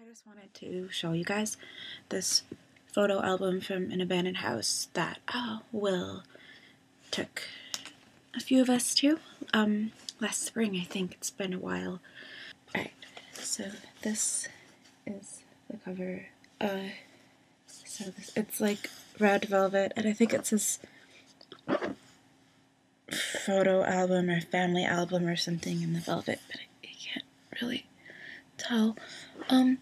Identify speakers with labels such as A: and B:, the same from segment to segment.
A: I just wanted to show you guys this photo album from an abandoned house that uh, Will took a few of us to um, last spring. I think it's been a while. Alright, so this is the cover. Uh, so it's like red velvet, and I think it's this photo album or family album or something in the velvet, but I, can't really tell. Um,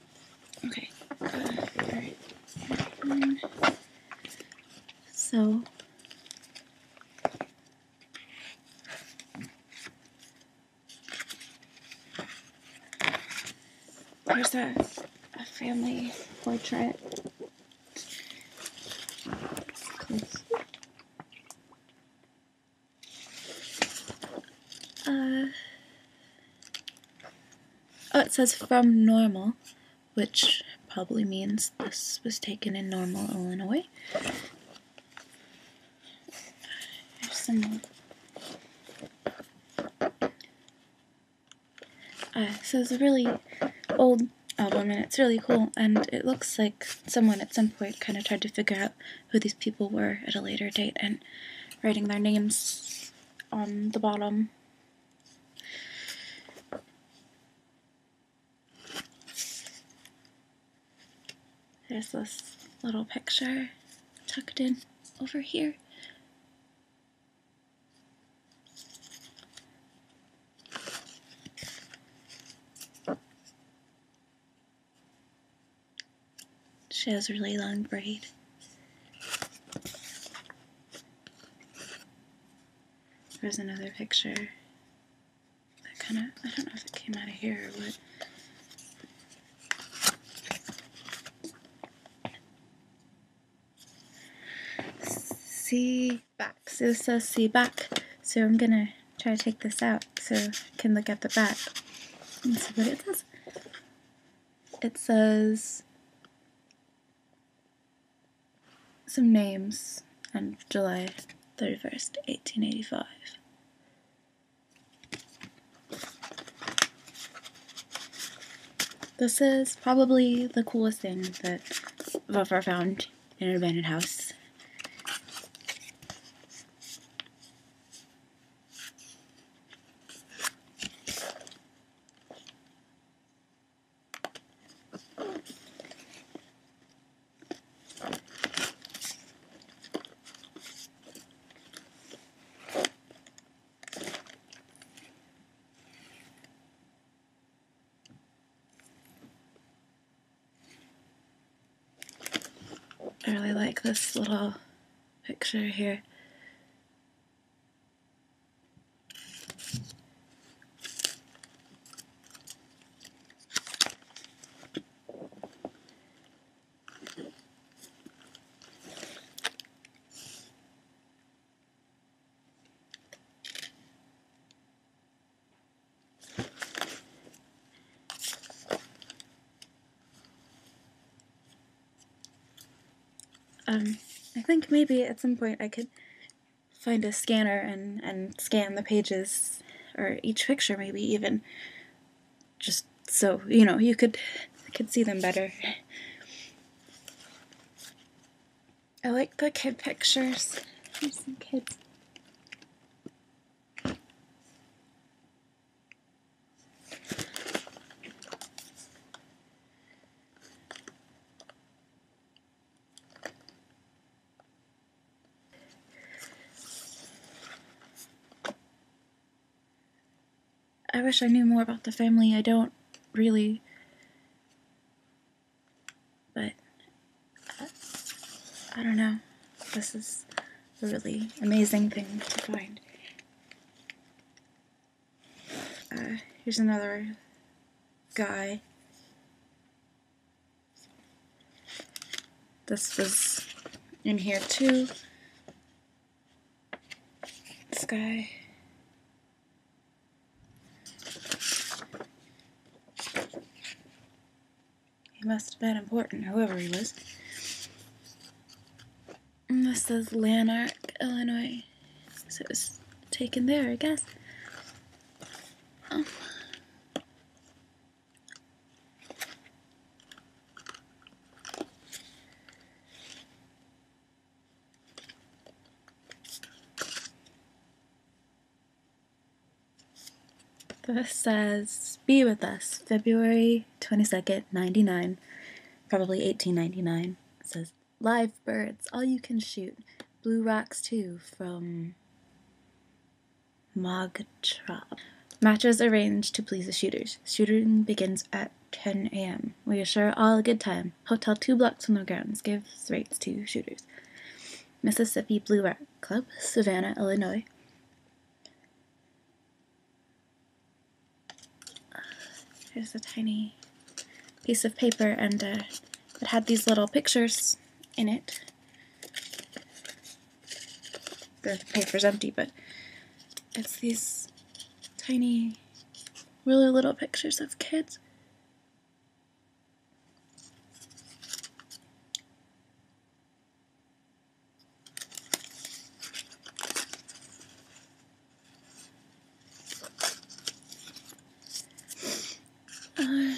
A: okay. Uh, so Where's that? a family portrait. Uh, oh, it says from normal, which probably means this was taken in normal, Illinois so it's a really old album, and it's really cool. And it looks like someone at some point kind of tried to figure out who these people were at a later date, and writing their names on the bottom. There's this little picture tucked in over here. She has really long braid. There's another picture that kind of, I don't know if it came out of here or what. See back. So it says see back. So I'm going to try to take this out so I can look at the back and see what it says. It says some names and July 31st, 1885. This is probably the coolest thing that I've ever found in an abandoned house. I really like this little picture here. Um, I think maybe at some point I could find a scanner and, and scan the pages, or each picture maybe even, just so you know you could could see them better. I like the kid pictures. some kids. I wish I knew more about the family. I don't really. But I, don't know. This is a really amazing thing to find. Uh, here's another guy. This was in here too. This guy. He must have been important, whoever he was. this is Lanark, Illinois. So it was taken there, I guess. Oh. This says, Be with us, February 22nd, 99, probably 1899. It says, Live birds, all you can shoot. Blue rocks, too, from Magtrab. Matches arranged to please the shooters. Shooting begins at 10 a.m. We assure all a good time. Hotel two blocks from the grounds. Gives rates to shooters. Mississippi Blue Rock Club, Savannah, Illinois. Here's a tiny piece of paper, and uh, it had these little pictures in it the paper's empty, but it's these tiny, really little pictures of kids. Uh,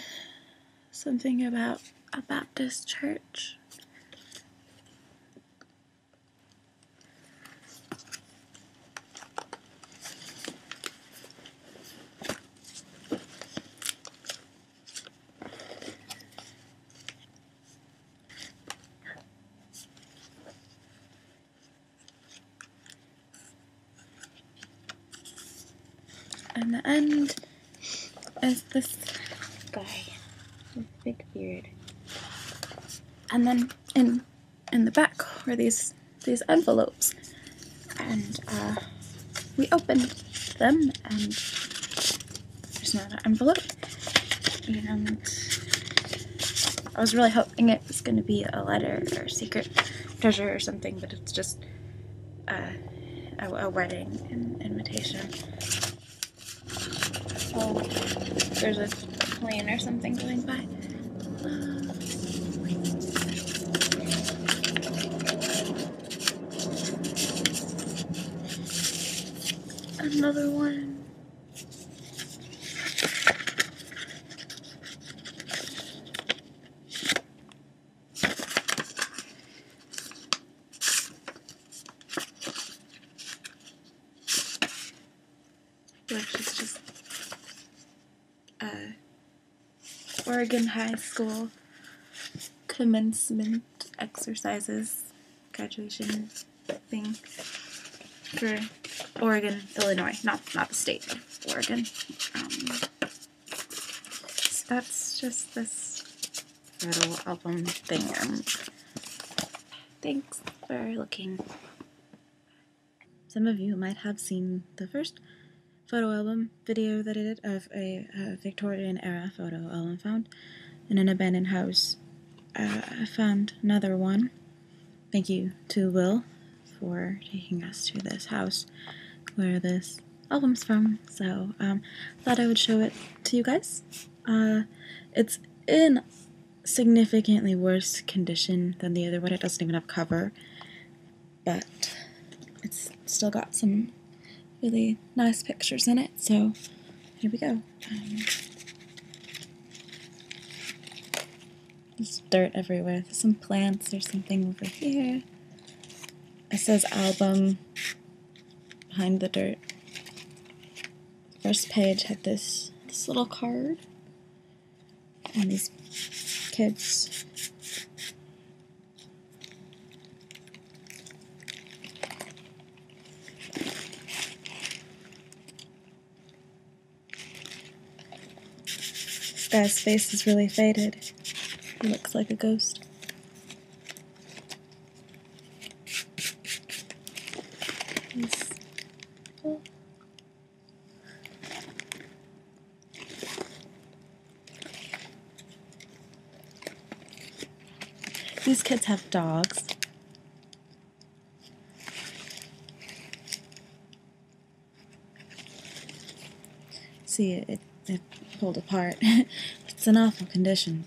A: something about a Baptist church and the end is this guy with a big beard. And then in in the back were these these envelopes. And uh, we opened them and there's another envelope. And I was really hoping it was going to be a letter or a secret treasure or something, but it's just uh, a, a, wedding invitation. Oh, there's a plane or something going by. Another one. Which is just uh, Oregon High School commencement exercises graduation thing for Oregon, Illinois, not not the state, Oregon. Um, that's just this little album thing. thanks for looking. Some of you might have seen the first photo album video that I did of a, Victorian era photo album found in an abandoned house. Uh, I found another one. Thank you to Will for taking us to this house where this album's from. So um, thought I would show it to you guys it's uh, it's in significantly worse condition than the other one. It doesn't even have cover, but it's still got some really nice pictures in it. So here we go. Um, there's dirt everywhere. There's some plants. There's something over here. It says album behind the dirt. First page had this this little card and these kids. This guy's face is really faded. looks like a ghost. These kids have dogs. See, it, it pulled apart. it's an awful condition,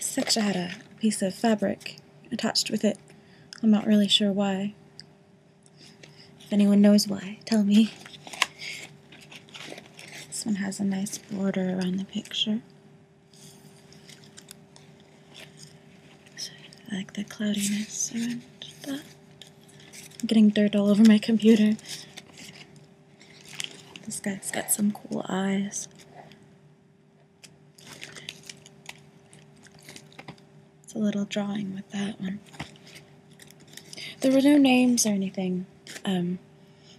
A: Seksha had a piece of fabric attached with it. I'm not really sure why. If anyone knows why, tell me. This one has a nice border around the picture. I like the cloudiness around that. I'm getting dirt all over my computer. This guy's got some cool eyes. It's a little drawing with that one. There were no names or anything. Um,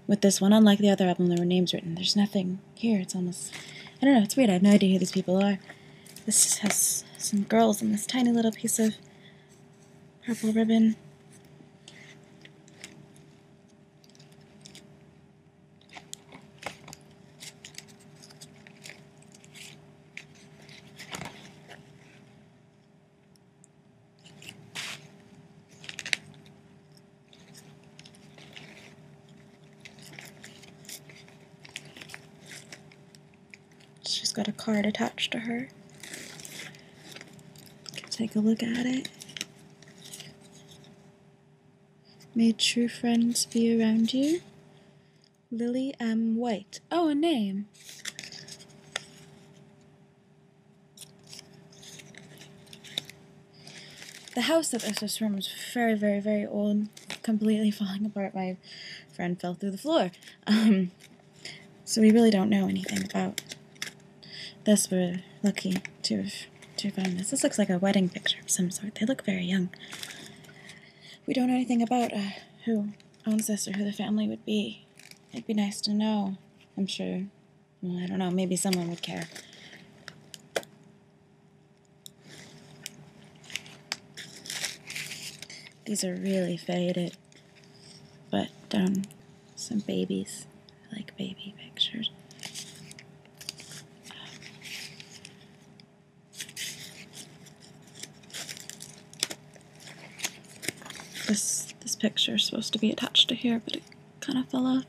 A: with this one, unlike the other album, there were names written. There's nothing here. It's almost. I don't know. It's weird. I have no idea who these people are. This has some girls and this tiny little piece of purple ribbon. She's got a card attached to her. Take a look at it. May true friends be around you. Lily M. White. Oh, a name. The house that this was from is very, very, very old, completely falling apart. My friend fell through the floor. Um, so we really don't know anything about this. We're lucky to have, to have found this. This looks like a wedding picture of some sort. They look very young. We don't know anything about uh, who owns this or who the family would be. It'd be nice to know, I'm sure. I don't know, maybe someone would care. These are really faded, but um, some babies. I like baby pictures. This this picture is supposed to be attached to here, but it kind of fell off.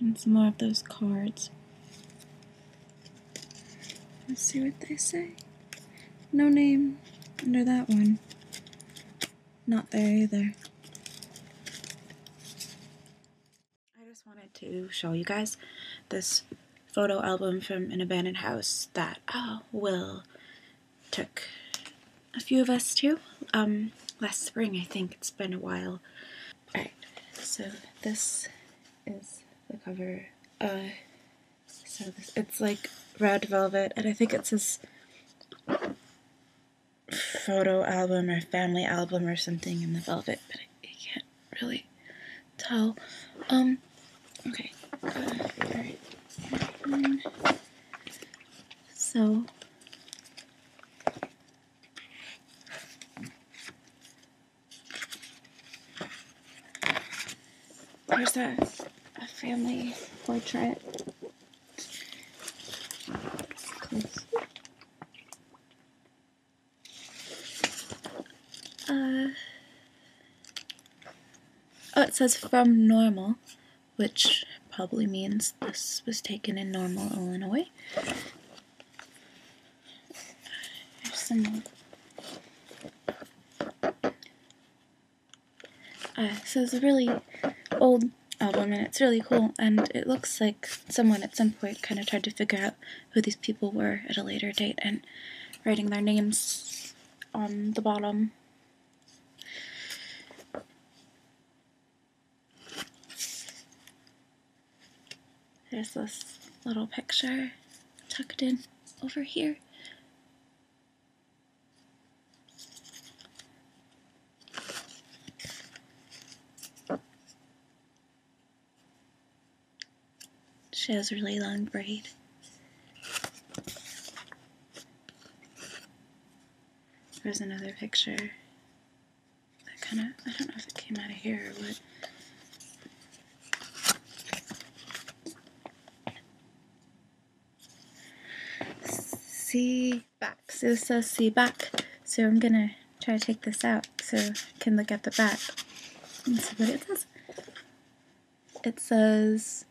A: And some more of those cards. Let's see what they say. No name under that one. Not there either. I just wanted to show you guys this photo album from an abandoned house that oh, Will took a few of us to um, last spring. I think it's been a while. Alright, so this is the cover. Uh, so it's like red velvet, and I think it says photo album or family album or something in the velvet, but I, can't really tell. Um, okay. Uh, so Where's that? a family portrait. Uh, oh, it says from normal, which probably means this was taken in normal, Illinois so it's a really old album, and it's really cool. And it looks like someone at some point kind of tried to figure out who these people were at a later date, and writing their names on the bottom. There's this little picture tucked in over here. She has a really long braid. There's another picture that kind of, I don't know if it came out of here or what. C back. So it says C back. So I'm going to try to take this out so I can look at the back and see what it says. It says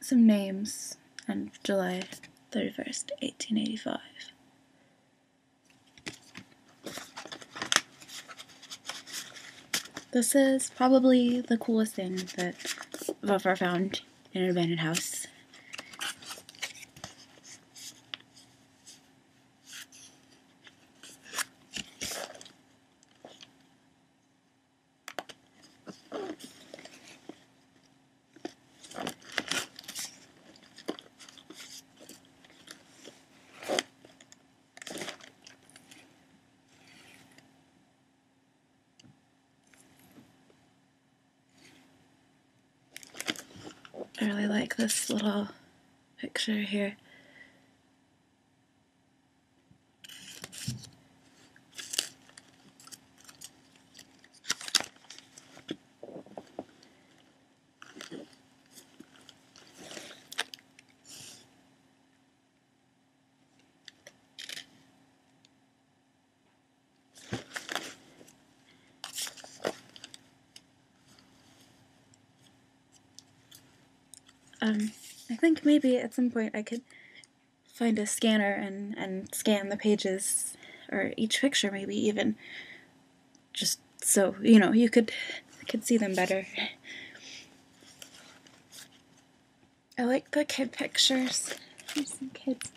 A: some names and July 31st, 1885. This is probably the coolest thing that I've ever found in an abandoned house. I really like this little picture here. Um, I think maybe at some point I could find a scanner and, and scan the pages, or each picture maybe even, just so you know you could could see them better. I like the kid pictures. some kids.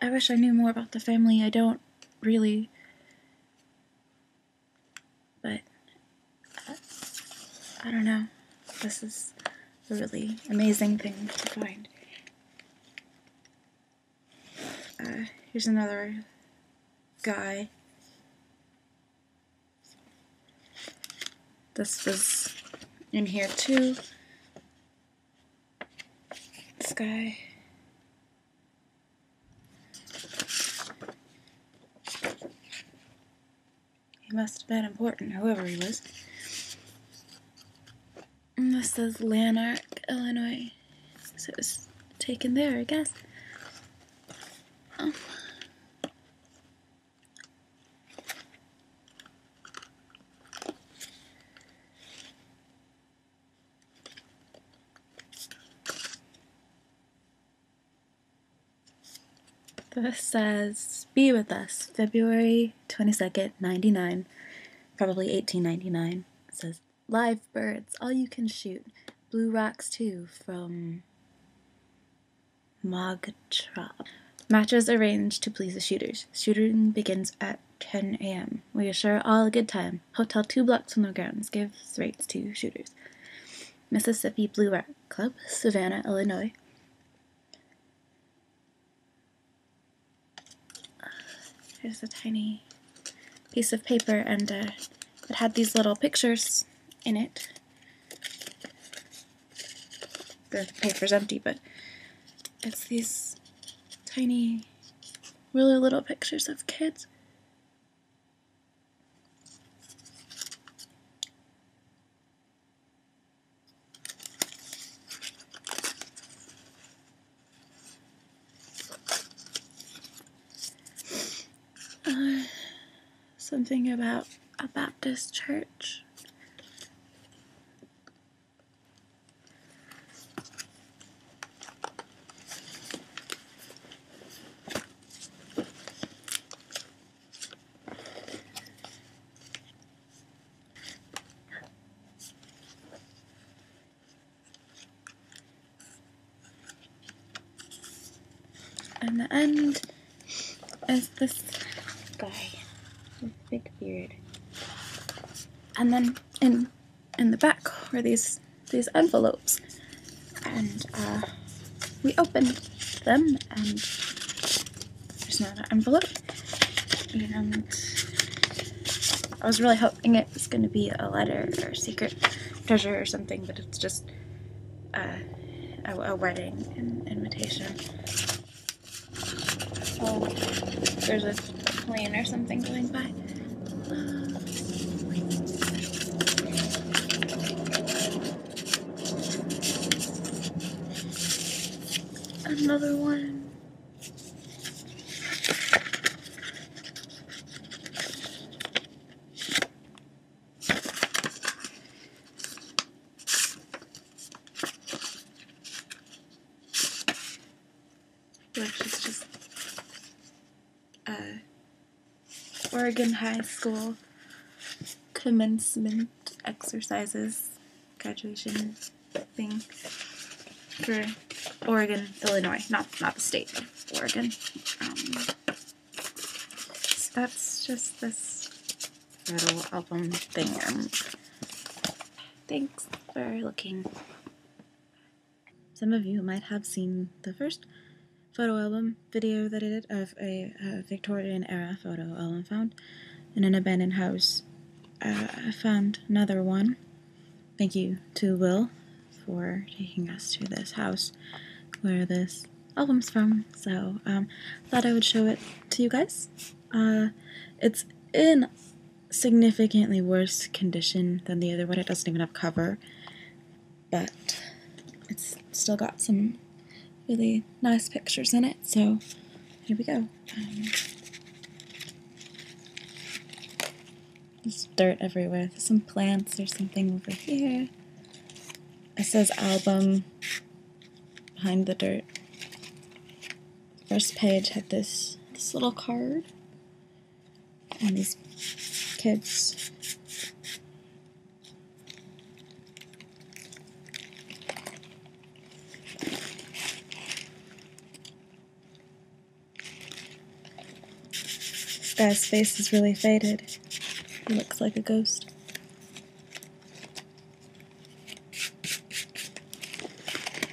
A: I wish I knew more about the family. I don't really. But uh, I don't know. This is a really amazing thing to find. Uh, here's another guy. This was in here too. This guy. He must have been important, whoever he was. this says Lanark, Illinois. So it was taken there, I guess. Oh. This says, Be with us, February 22nd, 99, probably 1899. It says, Live birds, all you can shoot. Blue rocks, too, from Mog Matches arranged to please the shooters. Shooting begins at 10 a.m. We assure all a good time. Hotel two blocks from the grounds. Gives rates to shooters. Mississippi Blue Rat Club, Savannah, Illinois. Here's a tiny piece of paper, and uh, it had these little pictures in it the paper's empty, but it's these tiny, really little pictures of kids. Uh, something about a Baptist church and the end is this guy big beard. And then in in the back were these these envelopes, and uh, we opened them, and there's another envelope, and I was really hoping it was going to be a letter or secret treasure or something, but it's just uh, a, a wedding invitation. Oh, there's a plane or something going by. Another one. Which is just uh, Oregon High School commencement exercises graduation thing for Oregon, Illinois, not not the state, Oregon. Um, so that's just this little album thing. Thanks for looking. Some of you might have seen the first photo album video that I did of a, Victorian era photo album found in an abandoned house. Uh, I found another one. Thank you to Will for taking us to this house where this album's from. So I um, thought I would show it to you guys it's uh, it's in significantly worse condition than the other one. It doesn't even have cover, but it's still got some really nice pictures in it. So here we go. Um, there's dirt everywhere. There's some plants or something over here. It says album behind the dirt first page had this this little card and these kids. Guy's face is really faded. looks like a ghost.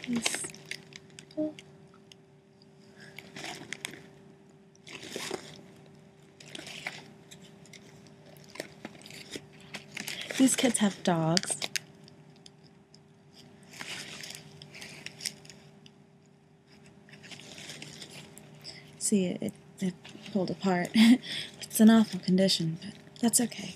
A: This. Oh. These kids have dogs. See, it, it pulled apart. it's an awful condition, but that's okay.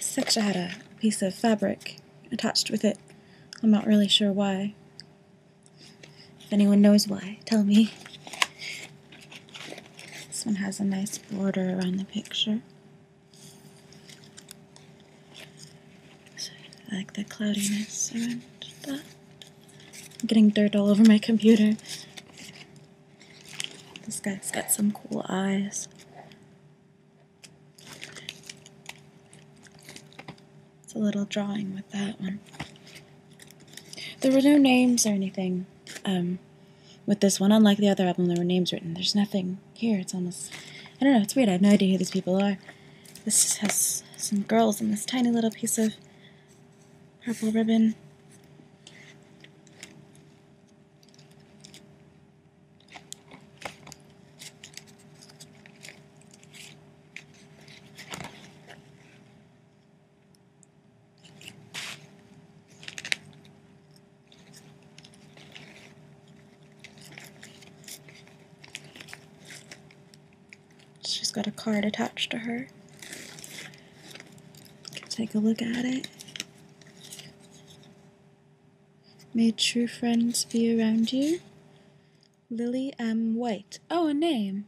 A: Seksha had a piece of fabric attached with it. I'm not really sure why. If anyone knows why, tell me. This one has a nice border around the picture. I like the cloudiness around that. I'm getting dirt all over my computer. This guy's got some cool eyes. It's a little drawing with that one. There were no names or anything. Um, with this one, unlike the other album, there were names written. There's nothing here. It's almost. I don't know. It's weird. I have no idea who these people are. This has some girls on this tiny little piece of purple ribbon. She's got a card attached to her. Take a look at it. May true friends be around you. Lily M. White. Oh, a name.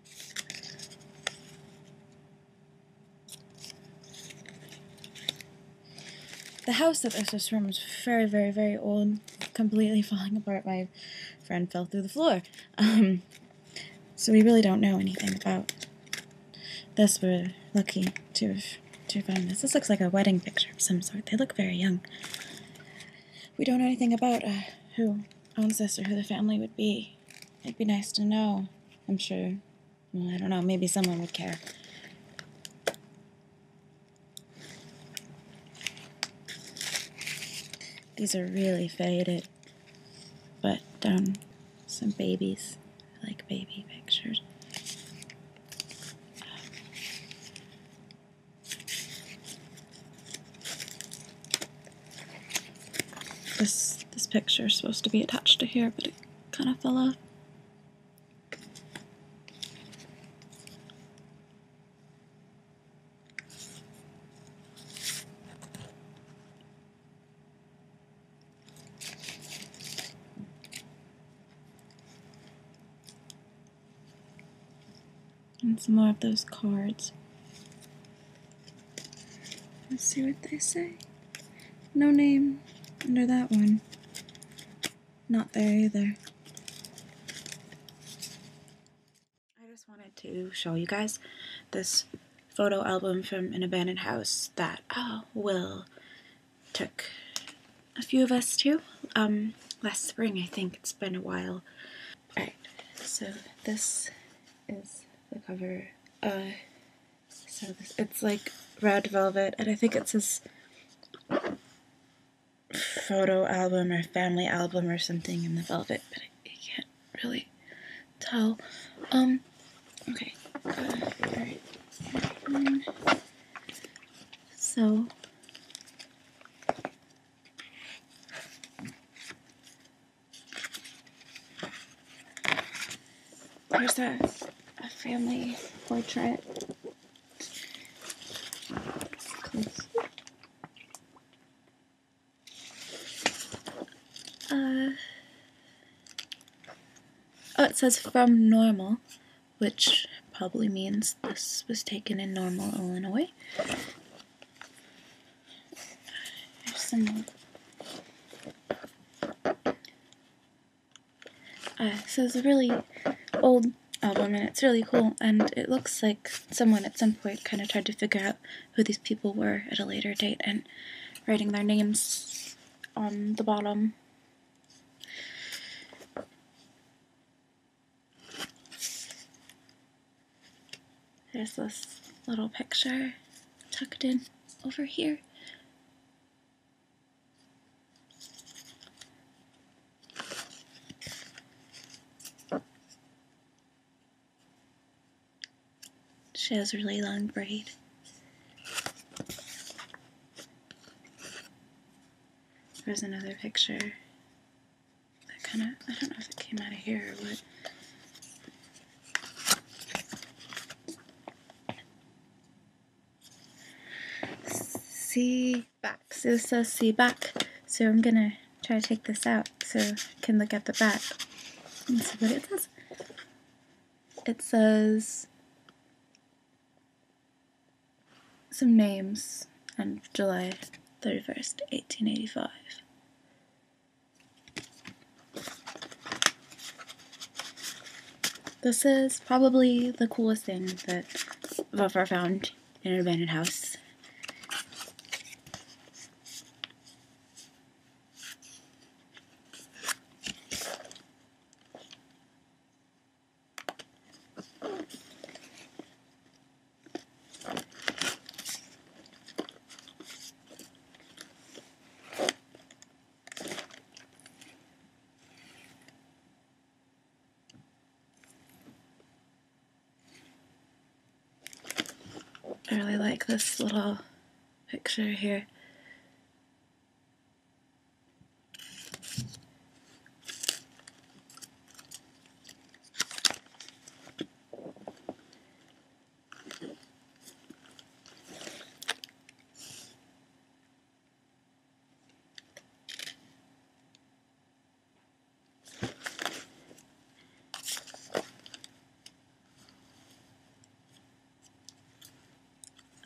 A: The house that this was from is very, very, very old, completely falling apart. My friend fell through the floor. Um, so we really don't know anything about this. We're lucky to have, to have this. This looks like a wedding picture of some sort. They look very young. We don't know anything about uh, who owns this or who the family would be. It'd be nice to know. I'm sure I don't know. Maybe someone would care. These are really faded, but um, some babies. I like baby pictures. This this picture is supposed to be attached to here, but kind of fell off, And some more of those cards. Let's see what they say. No name under that one. Not there either. I just wanted to show you guys this photo album from an abandoned house that oh, Will took a few of us to um, last spring. I think it's been a while. Alright, so this is the cover. Uh, so it's like red velvet, and I think it's this photo album or family album or something in the velvet, but I, can't really tell. Um, okay. so. Where's a, a family portrait. Uh, oh, it says from normal, which probably means this was taken in normal, Illinois. Uh, so it's a really old album, and it's really cool. And it looks like someone at some point kind of tried to figure out who these people were at a later date and writing their names on the bottom. There's this little picture tucked in over here she has a really long braid. There's another picture that kind of, I don't know if it came out of here or what. See back. So it says see back. So I'm going to try to take this out so I can look at the back and see what it says. It says some names and July 31st, 1885. This is probably the coolest thing that I've ever found in an abandoned house. I really like this little picture here.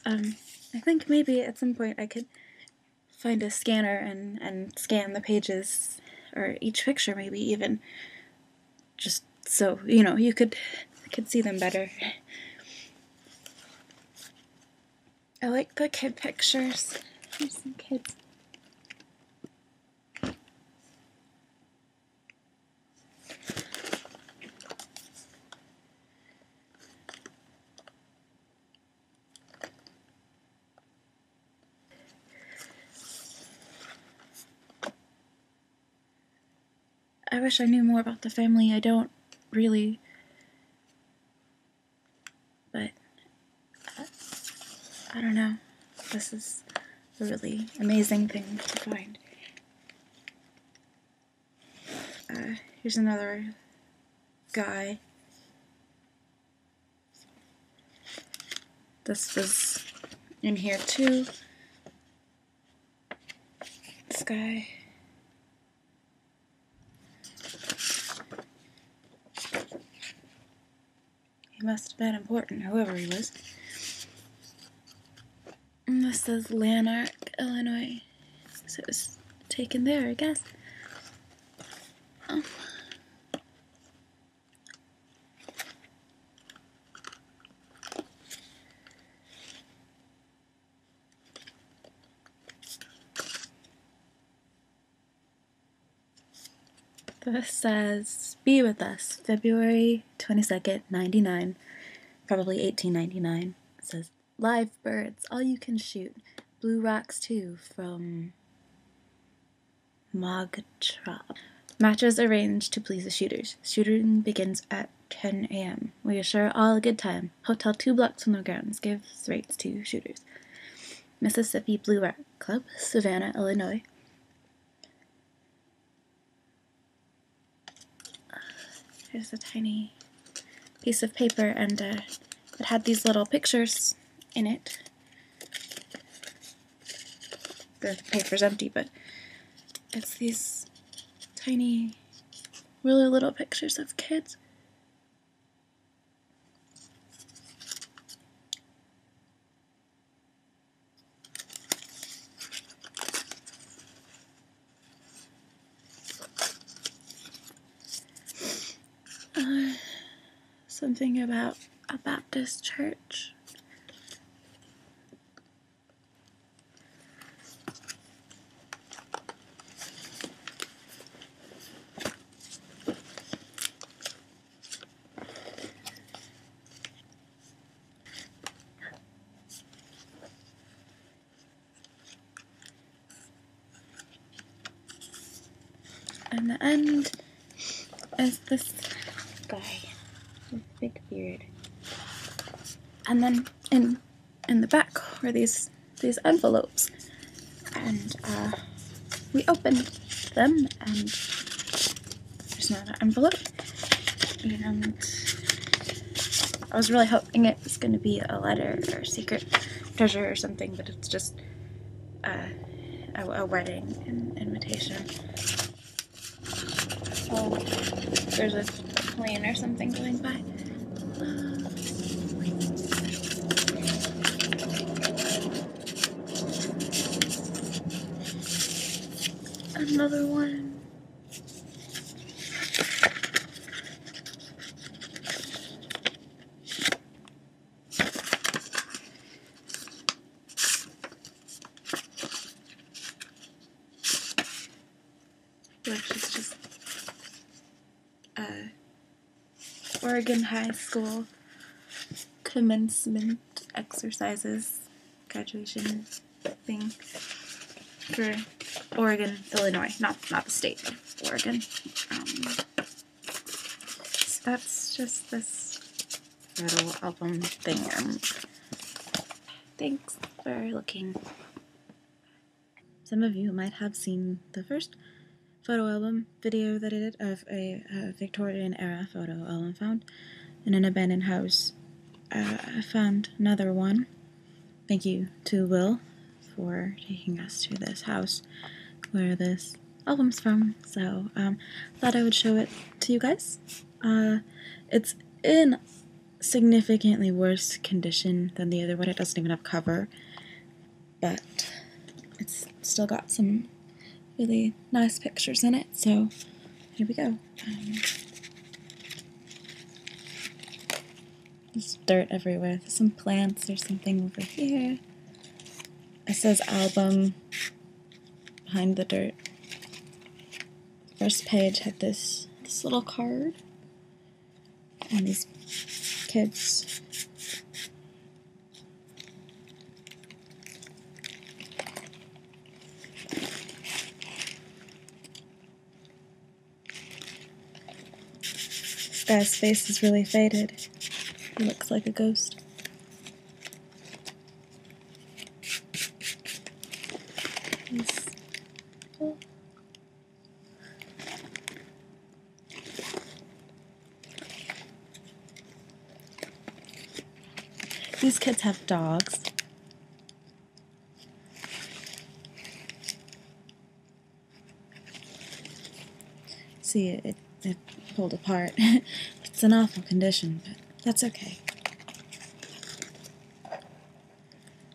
A: Um, I think maybe at some point I could find a scanner and, and scan the pages, or each picture maybe even, just so you know you could could see them better. I like the kid pictures. some kids. I wish I knew more about the family. I don't really. But uh, I don't know. This is a really amazing thing to find. Uh, here's another guy. This was in here too. This guy. He must have been important, whoever he was. this says Lanark, Illinois. So it was taken there, I guess. This says, Be with us, February 22nd, 99, probably 1899. It says, Live birds, all you can shoot. Blue Rocks too, from Mogtrop. Matches arranged to please the shooters. Shooting begins at 10 a.m. We assure all a good time. Hotel two blocks from the grounds. Gives rates to shooters. Mississippi Blue Rock Club, Savannah, Illinois. There's a tiny piece of paper, and uh, it had these little pictures in it. The paper's empty, but it's these tiny, really little pictures of kids. Uh, something about a Baptist church. And the end is this guy with big beard. And then in in the back were these these envelopes, and uh, we opened them, and there's another envelope, and I was really hoping it was going to be a letter or a secret treasure or something, but it's just uh, a, a, wedding invitation. Oh, there's a plane or something going by. Another one which is just uh, Oregon High School commencement exercises graduation thing for Oregon, Illinois, not not the state, Oregon. Um, so that's just this little album thing. i Thanks for looking. Some of you might have seen the first photo album video that I did of a, Victorian era photo album found in an abandoned house. Uh, I found another one. Thank you to Will for taking us to this house where this album's from. So I um, thought I would show it to you guys. Uh, it's in significantly worse condition than the other one. It doesn't even have cover, but it's still got some really nice pictures in it. So here we go. Um, dirt everywhere. some plants or something over here. It says album behind the dirt first page had this this little card and these kids. Guy's face is really faded. looks like a ghost. These kids have dogs. See, it, it pulled apart. it's an awful condition, but that's okay.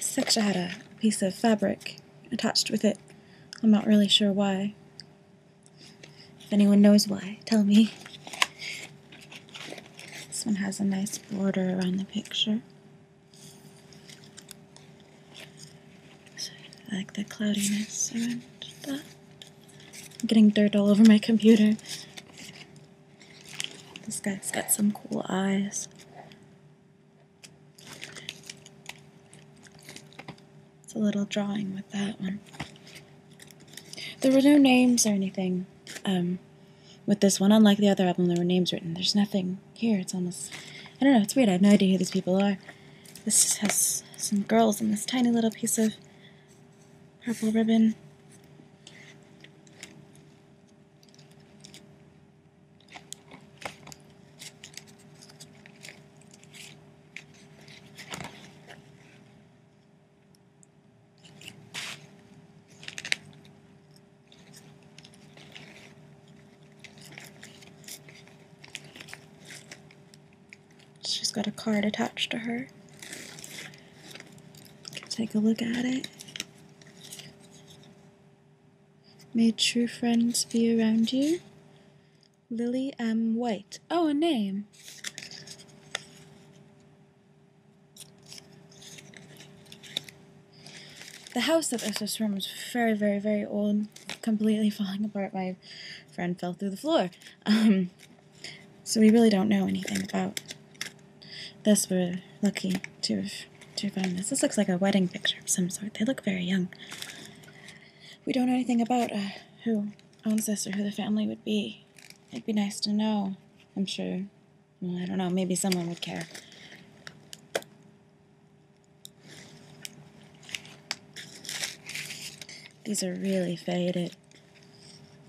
A: Seksha had a piece of fabric attached with it. I'm not really sure why. If anyone knows why, tell me. This one has a nice border around the picture. I like the cloudiness around that. I'm getting dirt all over my computer. This guy's got some cool eyes. It's a little drawing with that one. There were no names or anything. Um, with this one, unlike the other album, there were names written. There's nothing here. It's almost. I don't know. It's weird. I have no idea who these people are. This has some girls in this tiny little piece of purple ribbon. She's got a card attached to her. Take a look at it. May true friends be around you. Lily M. White. Oh, a name. The house that this was from is very, very, very old, completely falling apart. My friend fell through the floor. Um, so we really don't know anything about this. We're lucky to have, to have this. This looks like a wedding picture of some sort. They look very young. We don't know anything about uh, who owns this or who the family would be. It'd be nice to know. I'm sure I don't know. Maybe someone would care. These are really faded,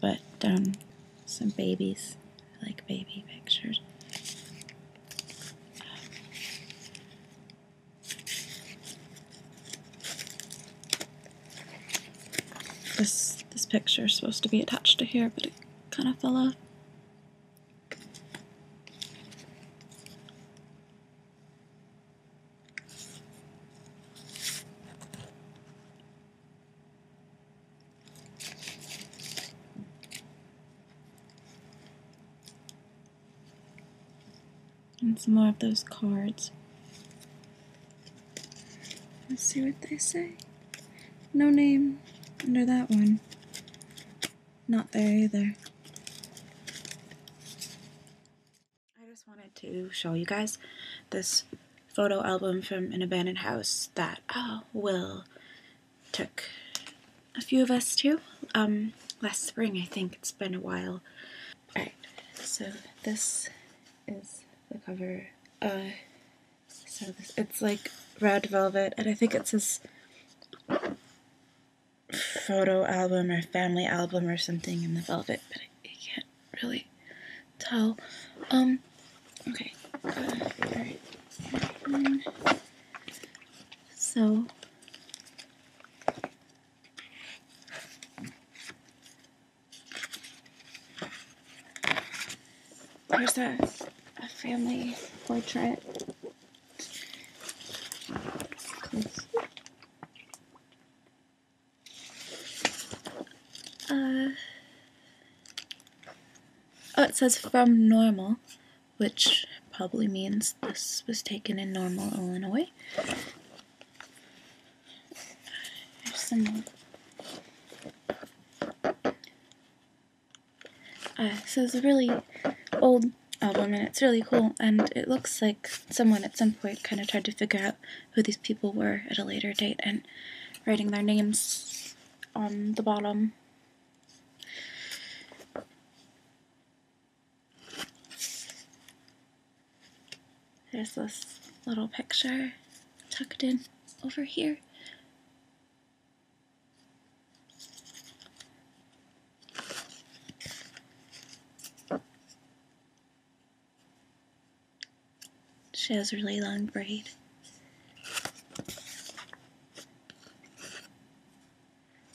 A: but um, some babies. I like baby pictures. This this picture is supposed to be attached to here, but it kind of fell off. And some more of those cards. Let's see what they say. No name under that one. Not there either. I just wanted to show you guys this photo album from an abandoned house that oh, Will took a few of us to um, last spring. I think it's been a while. Alright, so this is the cover. Uh, so it's like red velvet, and I think it's this photo album or family album or something in the velvet, but I, can't really tell. Um, okay. so. There's a, family portrait. Uh, oh, it says from normal, which probably means this was taken in normal, Illinois. Uh, so it's a really old album, and it's really cool. And it looks like someone at some point kind of tried to figure out who these people were at a later date and writing their names on the bottom. There's this little picture tucked in over here. She has a really long braid.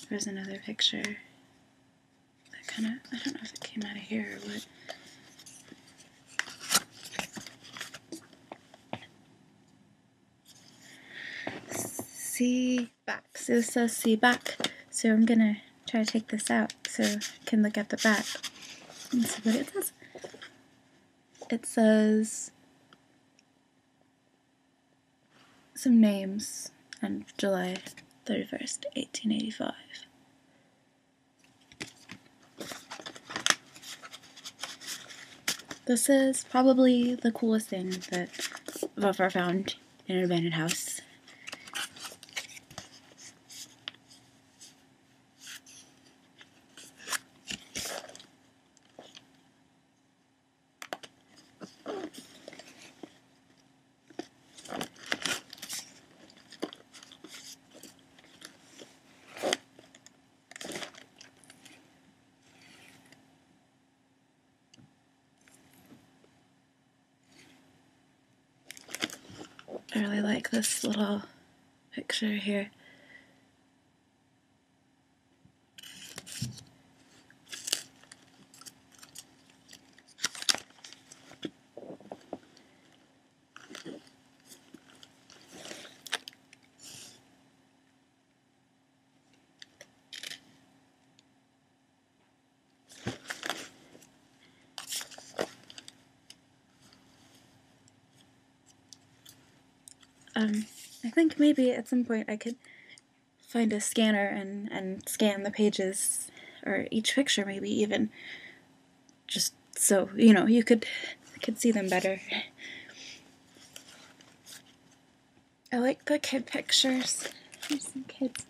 A: Here's another picture that kind of, I don't know if it came out of here or what. See back. So it says see back. So I'm going to try to take this out so I can look at the back and see what it says. It says some names and July 31st, 1885. This is probably the coolest thing that Vafar found in an abandoned house. I really like this little picture here. Um, I think maybe at some point I could find a scanner and, and scan the pages, or each picture maybe even, just so, you know, you could, could see them better. I like the kid pictures. some kids.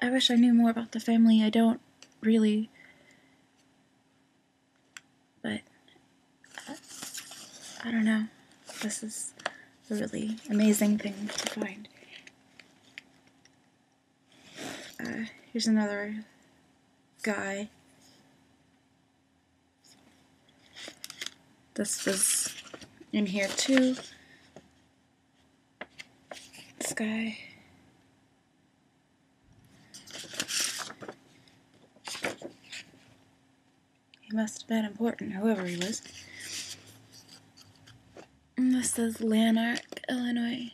A: I wish I knew more about the family. I don't really. But uh, I don't know. This is a really amazing thing to find. Uh, here's another guy. This was in here too. This guy. He must have been important, whoever he was. this is Lanark, Illinois.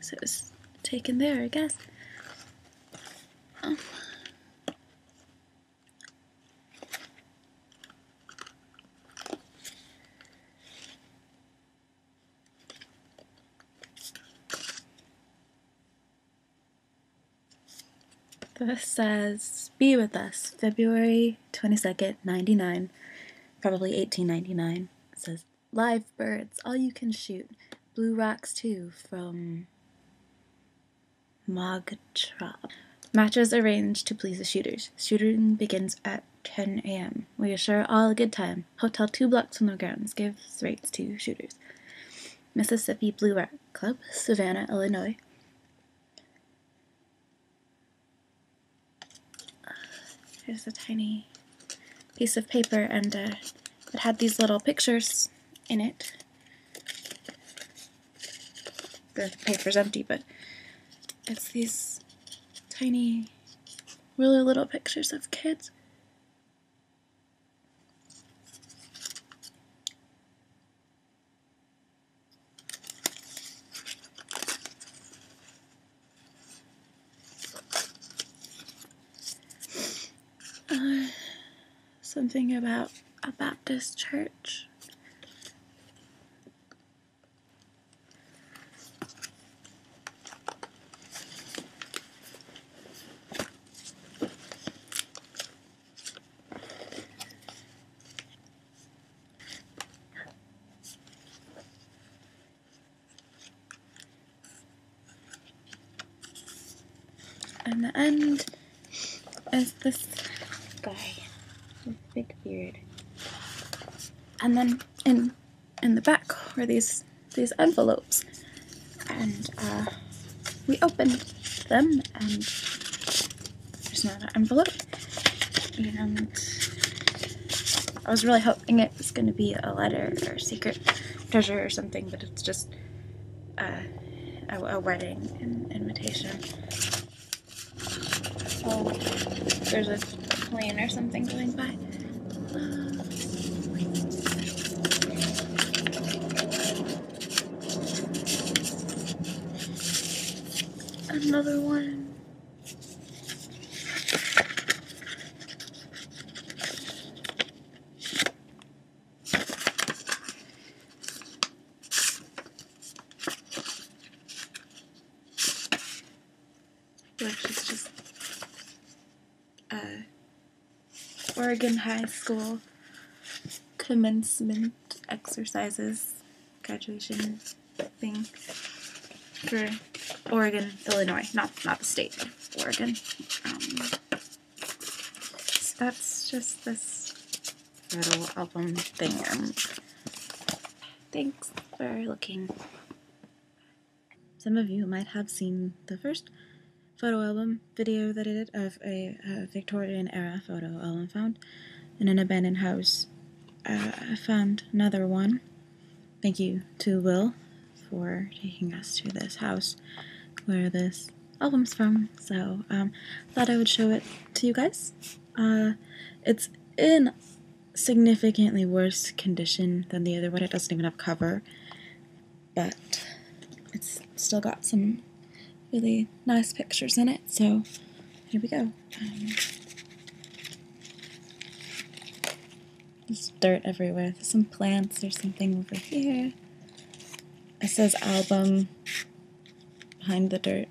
A: So it was taken there, I guess. This says, Be with us, February 22nd, 99, probably 1899. It says, Live birds, all you can shoot. Blue Rocks too, from Mogtrop. Matches arranged to please the shooters. Shooting begins at 10 a.m. We assure all a good time hotel two blocks from the grounds, gives rates to shooters. Mississippi Blue Rock Club, Savannah, Illinois. Here's a tiny piece of paper, and uh, it had these little pictures in it. The paper's empty, but it's these tiny really little pictures of kids. Uh, something about a Baptist church. And the end is this guy with big beard. And then in in the back were these these envelopes, and uh, we opened them, and there's another envelope, and I was really hoping it was going to be a letter or a secret treasure or something, but it's just uh, a, a, wedding invitation. So there's a plane or something going by. Another one which is just uh, Oregon High School commencement exercises graduation thing for Oregon, Illinois, not not the state, Oregon. Um, that's just this little album thing. thanks for looking. Some of you might have seen the first photo album video that I did of a, Victorian era photo album found in an abandoned house. Uh, I found another one. Thank you to Will for taking us to this house where this album's from. So I um, thought I would show it to you guys. Uh, it's in significantly worse condition than the other one. It doesn't even have cover, but it's still got some really nice pictures in it. So here we go. Um, dirt everywhere. some plants. There's something over here. It says album behind the dirt.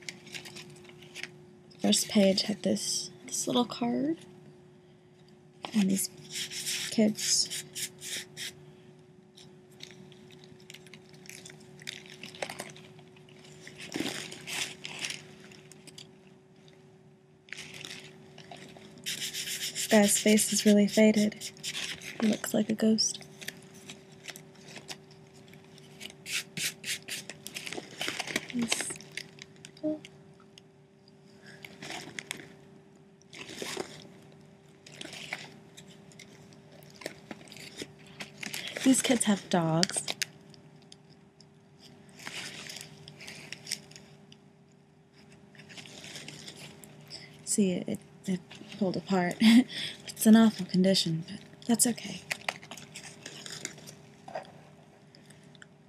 A: First page had this this little card and these kids. Guy's face is really faded. looks like a ghost. These kids have dogs. See, it, it pulled apart. it's an awful condition, but that's okay.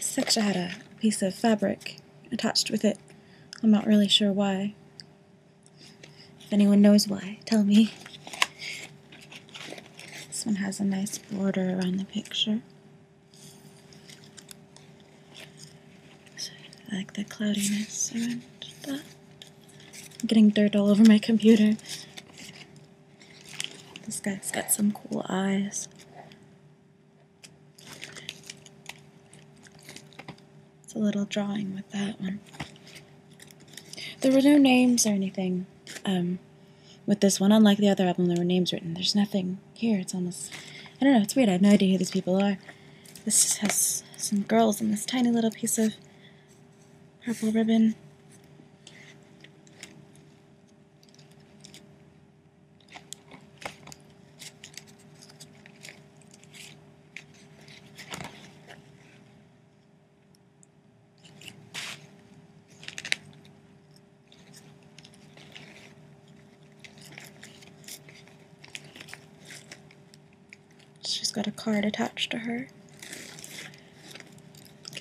A: Seksha had a piece of fabric attached with it. I'm not really sure why. If anyone knows why, tell me. This one has a nice border around the picture. I like the cloudiness around that. I'm getting dirt all over my computer. This guy's got some cool eyes. It's a little drawing with that one. There were no names or anything. Um, with this one, unlike the other album, there were names written. There's nothing here. It's almost. I don't know. It's weird. I have no idea who these people are. This has some girls in this tiny little piece of purple ribbon. She's got a card attached to her.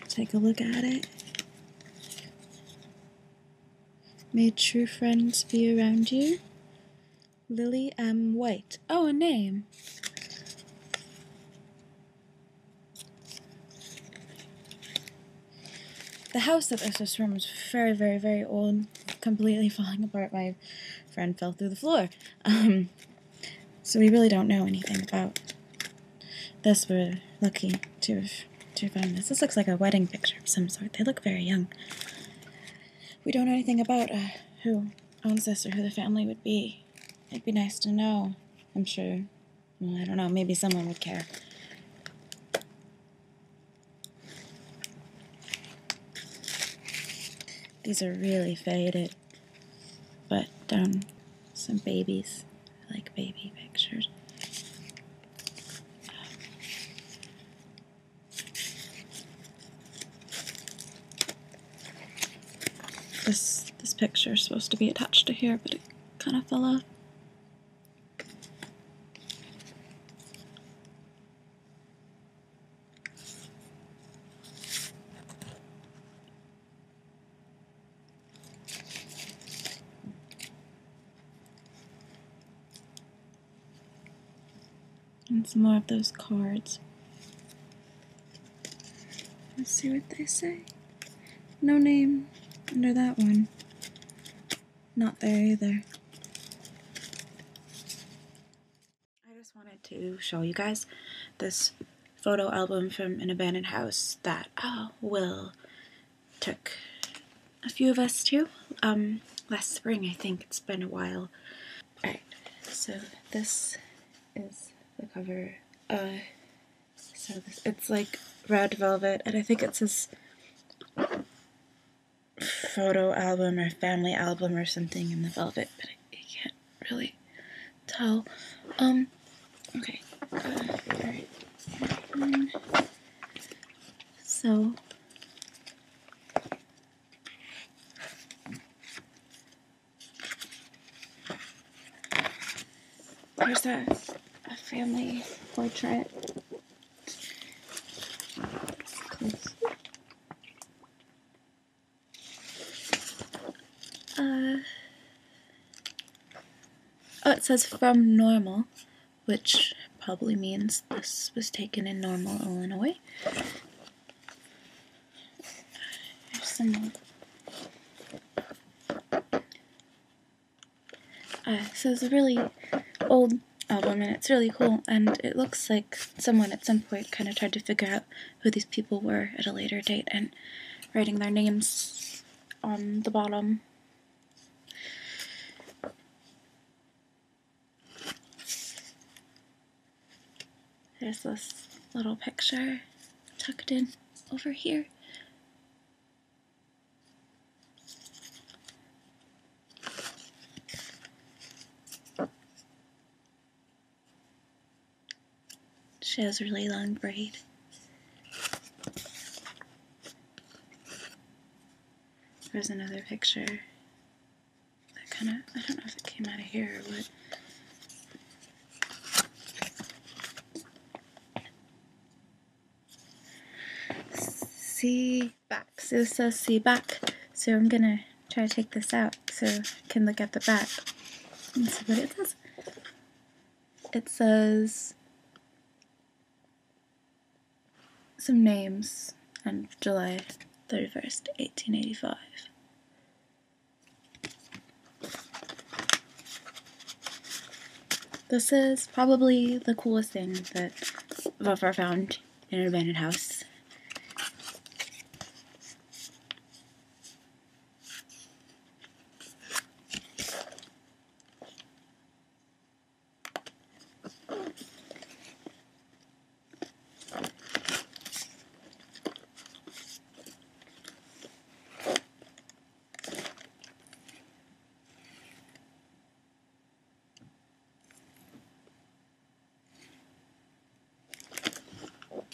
A: Take a look at it. May true friends be around you. Lily M. White. Oh, a name. The house that this was from was very, very, very old, completely falling apart. My friend fell through the floor. Um, so we really don't know anything about this. We're lucky to have, to have found this. This looks like a wedding picture of some sort. They look very young. We don't know anything about uh, who owns this or who the family would be. It'd be nice to know. I'm sure I don't know. Maybe someone would care. These are really faded, but um, some babies. I like baby pictures. This this picture is supposed to be attached to here, but it kind of fell off. And some more of those cards. Let's see what they say. No name under that one not there either. I just wanted to show you guys this photo album from an abandoned house that oh, Will took a few of us to um, last spring. I think it's been a while. Alright, so this is the cover. Uh, so this, it's like red velvet, and I think it says photo album or family album or something in the velvet, but I, can't really tell. Um, okay. so, there's a, a family portrait uh, oh, it says from normal, which probably means this was taken in normal, Illinois. There's some uh, so it's a really old album, and it's really cool. And it looks like someone at some point kind of tried to figure out who these people were at a later date and writing their names on the bottom. There's this little picture tucked in over here. She has a really long braid. There's another picture that kind of, I don't know if it came out of here or what. See back. So it says see back. So I'm going to try to take this out so I can look at the back and see what it says. It says some names and July 31st, 1885. This is probably the coolest thing that I've ever found in an abandoned house.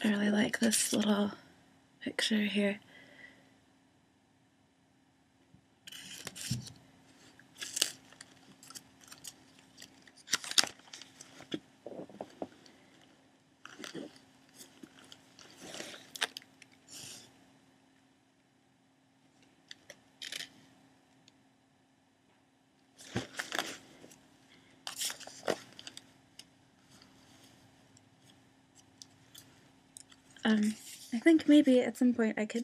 A: I really like this little picture here. Um, I think maybe at some point I could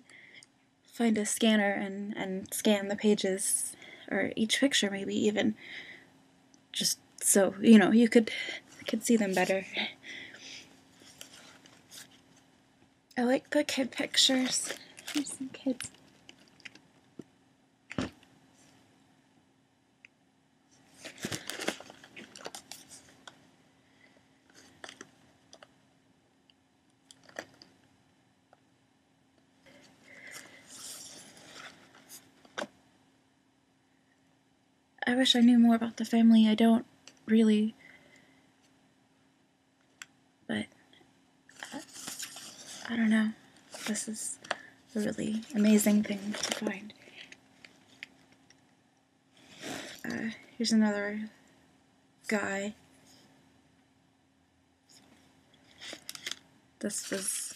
A: find a scanner and, and scan the pages, or each picture maybe even, just so, you know, you could, could see them better. I like the kid pictures. some kids. I wish I knew more about the family. I don't really but uh, I don't know. This is a really amazing thing to find. Uh, here's another guy. This was